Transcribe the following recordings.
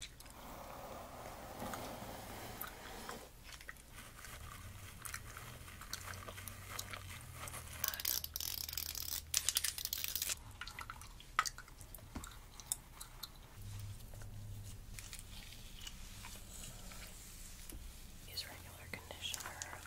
Use regular conditioner.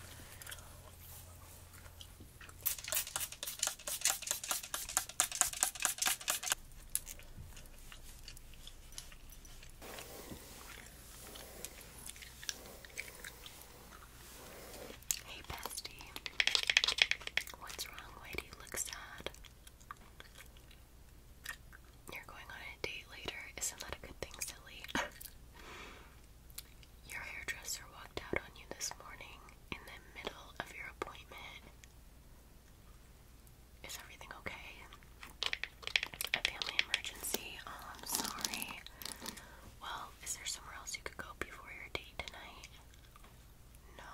Hey, bestie. What's wrong? Why do you look sad? You're going on a date later. Isn't that a good thing, silly? your hairdresser walked out on you this morning in the middle of your appointment. Is everything okay? A family emergency? I'm um, sorry. Well, is there somewhere else you could go before your date tonight? No.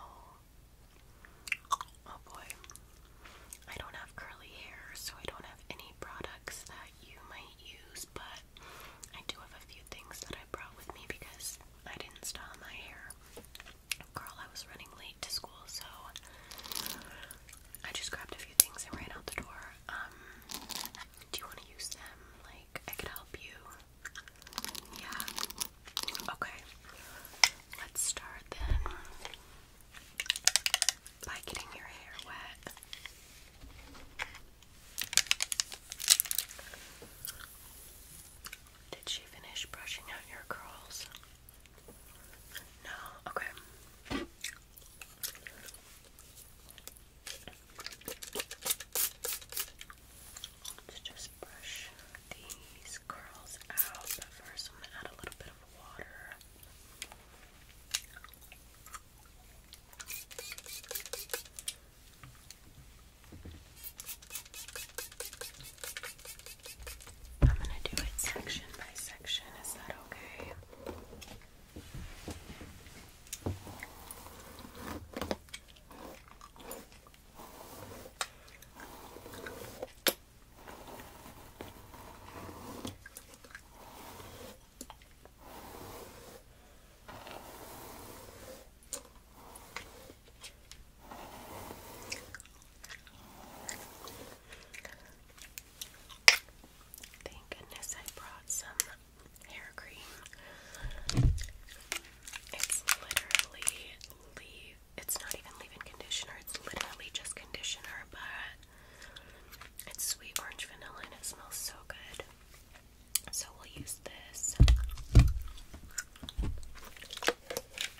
Oh boy. I don't have curly hair, so I don't have any products that you might use, but I do have a few things that I brought with me because I didn't style my hair. Girl, I was running late late to school, so I just grabbed a few things and ran out the door. Um, do you want to use them? Like, I could help you. Yeah. Okay. Let's start then by getting your hair wet. Did she finish brushing out your curls? No, okay. Let's just brush these curls out, but first I'm gonna add a little bit of water. I'm going to do it section by section. Is that okay? Okay. Thank goodness I brought some hair cream. It's literally leave, it's not even leave in conditioner, it's literally just conditioner, but it's sweet orange vanilla and it smells so good. So we'll use this.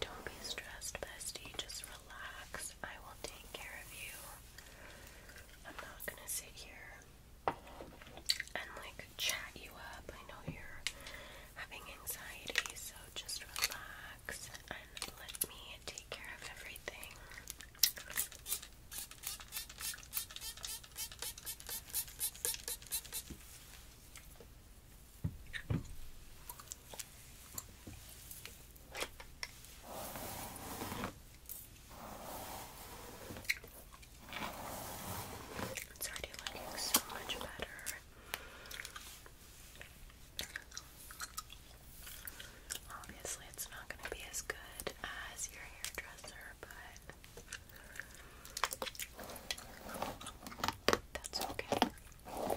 Don't be stressed, bestie. Just relax. I will take care of you. I'm not gonna sit here and like like chat you up. I know you're having anxiety, so just relax and let me take care of everything. It's already looking so much better. Obviously, it's not going to be as good as your hairdresser, but that's okay. Okay.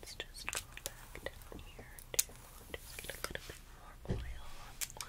Let's just go back down here to just get a little bit more oil.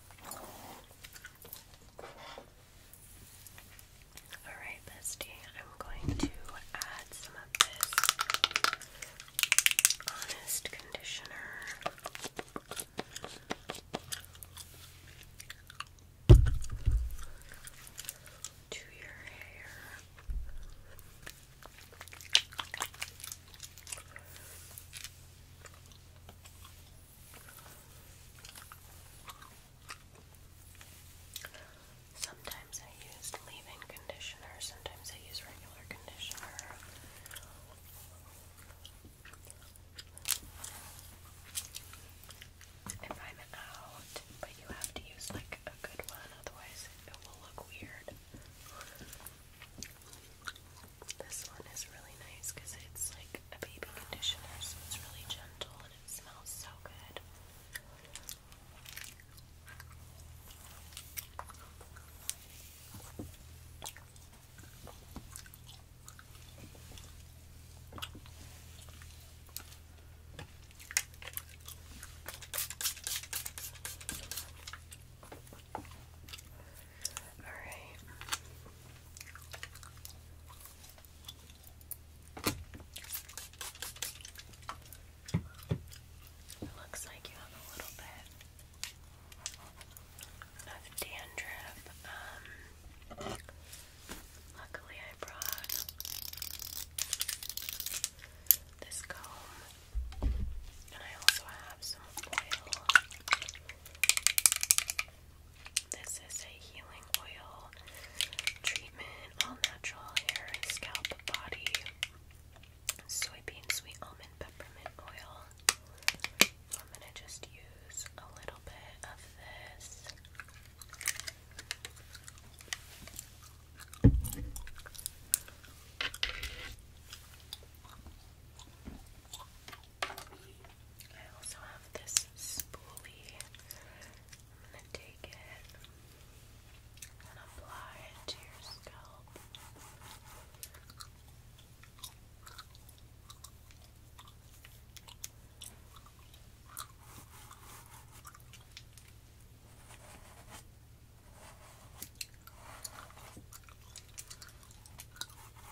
Alright, bestie, I'm going to add some of this honest conditioner. To your hair. Sometimes I use leave-in conditioner, sometimes I use regular conditioner. If I'm out, but you have to use like a good one, otherwise it will look weird. This one is really nice because it's like a baby conditioner, so it's really gentle and it smells so good. Alright. Looks like you have a little bit of dandruff. Um, luckily, I brought this comb, and I also have some oil. This is a healing oil treatment, all natural hair, and scalp, body, soybean, sweet almond, peppermint oil. I'm going to just use a little bit of this. I also have this spoolie. I'm gonna take it and apply it to your scalp.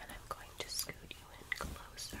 And I'm going to scoot you in closer.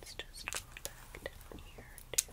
Let's just go back here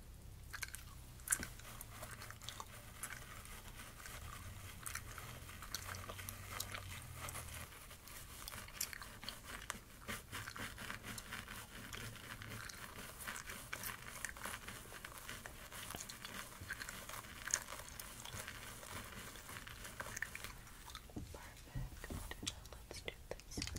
Perfect. Let's do this side.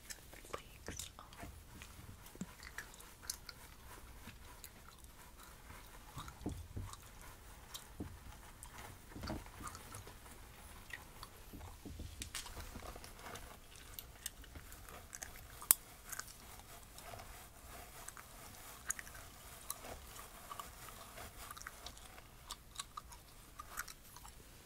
flakes off. I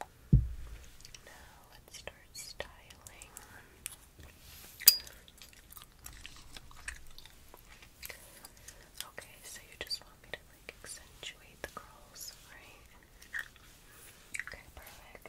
Now let's start styling. Okay, so you just want to like accentuate the curls, right? Okay, perfect.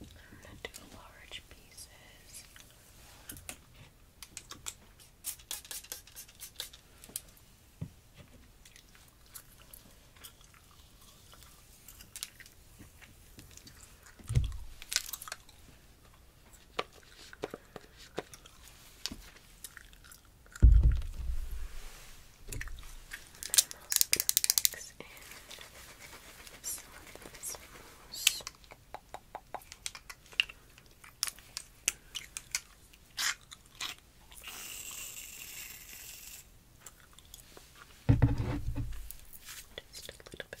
I'm gonna do large pieces. And then I'm also going to mix in some of this mousse. Just a little bit.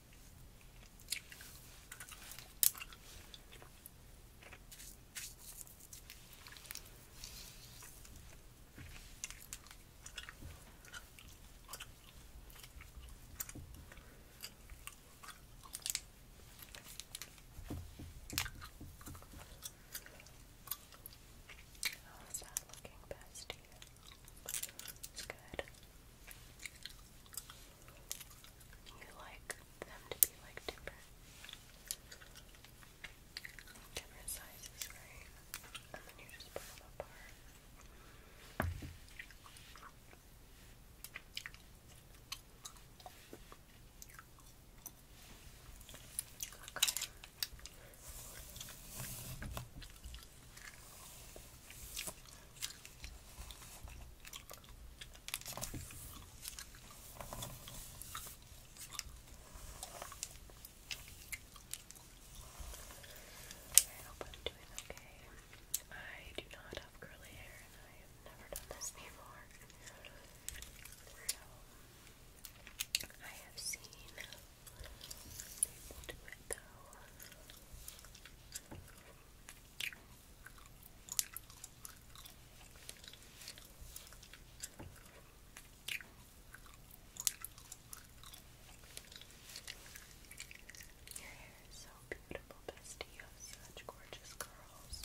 How's that looking, bestie? It's good. You like them to be like different, different sizes, right? And then you just put them apart. Okay. I hope I'm doing okay. I do not have curly hair and I have never done this before. So I have seen we Your hair is so beautiful, bestie. You have such gorgeous curls.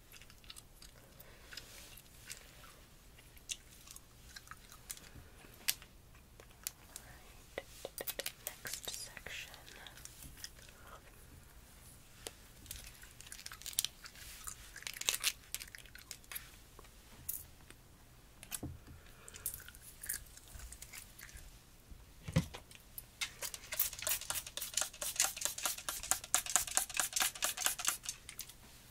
Alright, next section.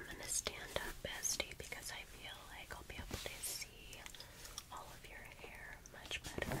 I'm going to stand up, bestie, because I feel like I'll be able to see all of your hair much better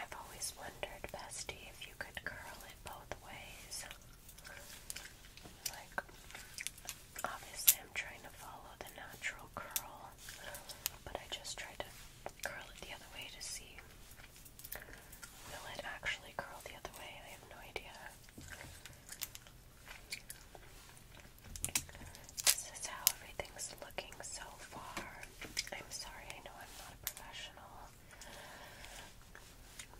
I've always wondered, Bestie, if you could curl it both ways. Like, obviously, I'm trying to follow the natural curl, but I just tried to curl it the other way to see. Will it actually curl the other way? I have no idea. This is how everything's looking so far. I'm sorry, I know I'm not a professional,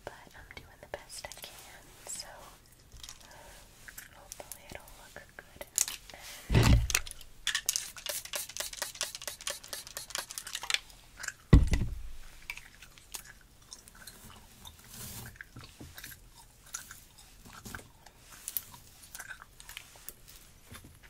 but I'm doing the best I can, so hopefully it'll look good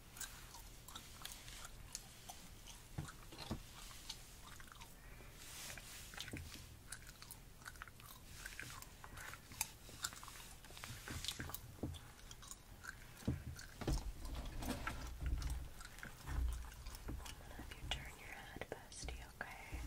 I'll have you turn your head, bestie, okay? Okay.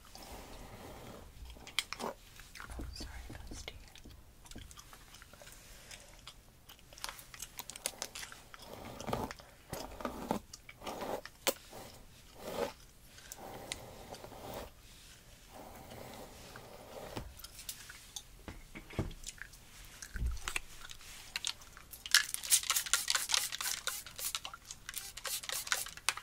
Oh, sorry if that's to you.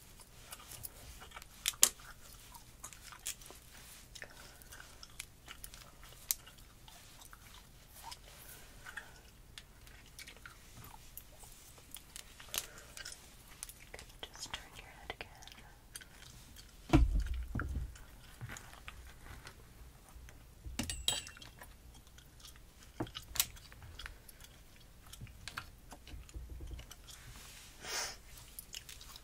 Can you just turn your head again?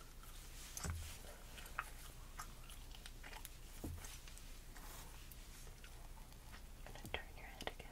I'm going to turn your head again.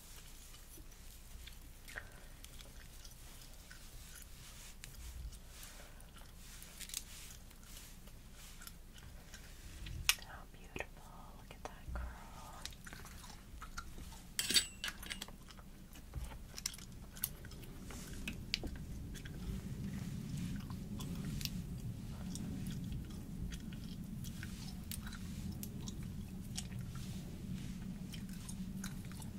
How beautiful. Look at that curl.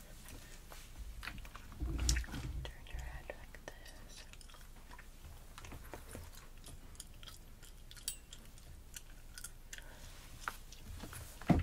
Turn your head like this. Good.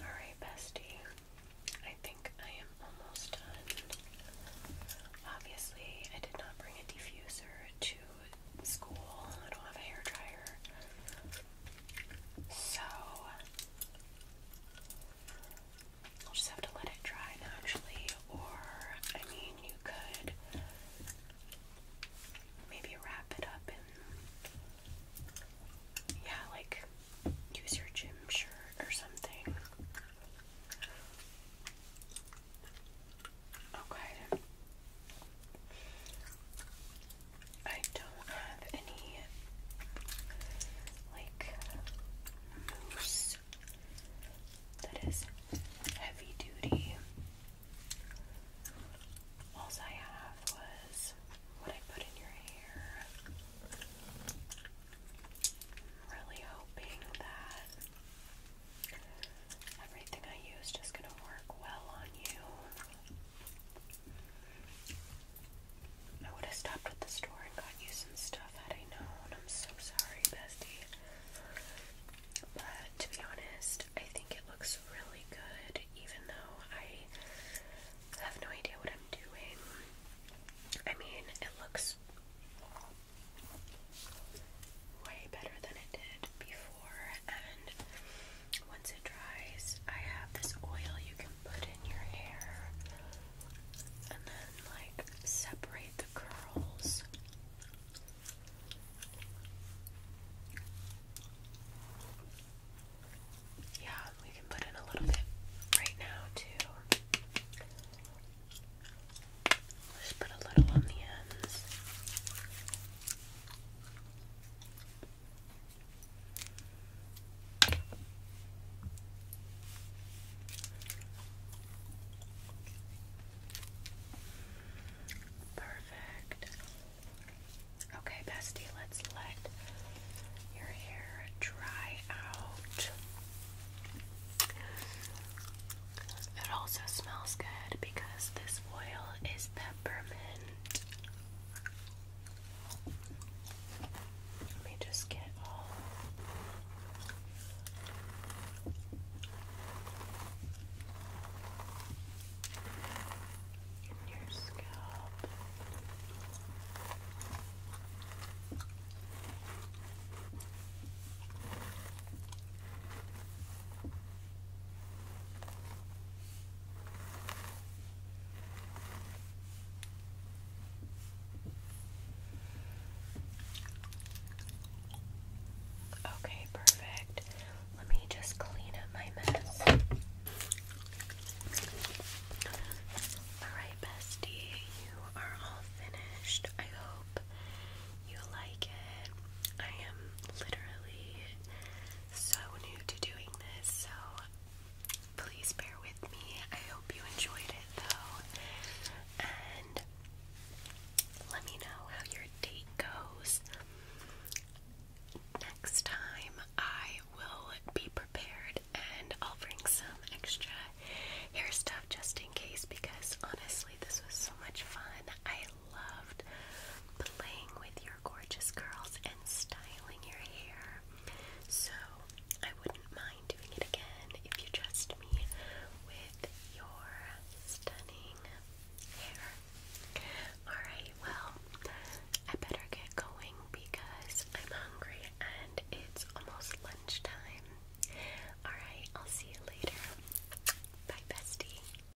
All right, bestie. I think I am almost done. Obviously, I did not bring a diffuser to school. I don't have a hair dryer. So I'll just have to let it dry naturally, or I mean, you could maybe wrap it up in yeah, like use your gym shirt or something. Okay. I don't have any like mousse that is heavy duty. All I have was what I put in your hair. really hoping that Everything I use is going to work well on you. I would have stopped at the store and got you some stuff had I known. I'm so sorry, bestie. But to be honest, I think it looks really good, even though I have no idea what I'm doing. I mean, it looks way better than it did before and once it dries, I have this oil you can put in your hair and then, like, separate the curls. Yeah, we can put in a little bit right now, too. Just put a little on the ends. Perfect. Okay, bestie, let's let your hair dry out. It also smells good because this oil is peppermint. Let me just get all. In your scalp. Okay, perfect. Let me just clean up my mess. Alright, bestie, you are all finished. I hope you like it. I am literally so new to doing this, so please bear with me. I hope you enjoyed it though, and let me know how your date goes. Next time, I will be prepared and I'll bring some extra hair stuff just in case because honestly, this was so much fun. I loved playing with your gorgeous curls and styling your hair. So I wouldn't mind doing it again if you trust me with your stunning hair. Alright, well, I better get going because I'm hungry and it's almost lunchtime. Alright, I'll see you later. Bye, bestie.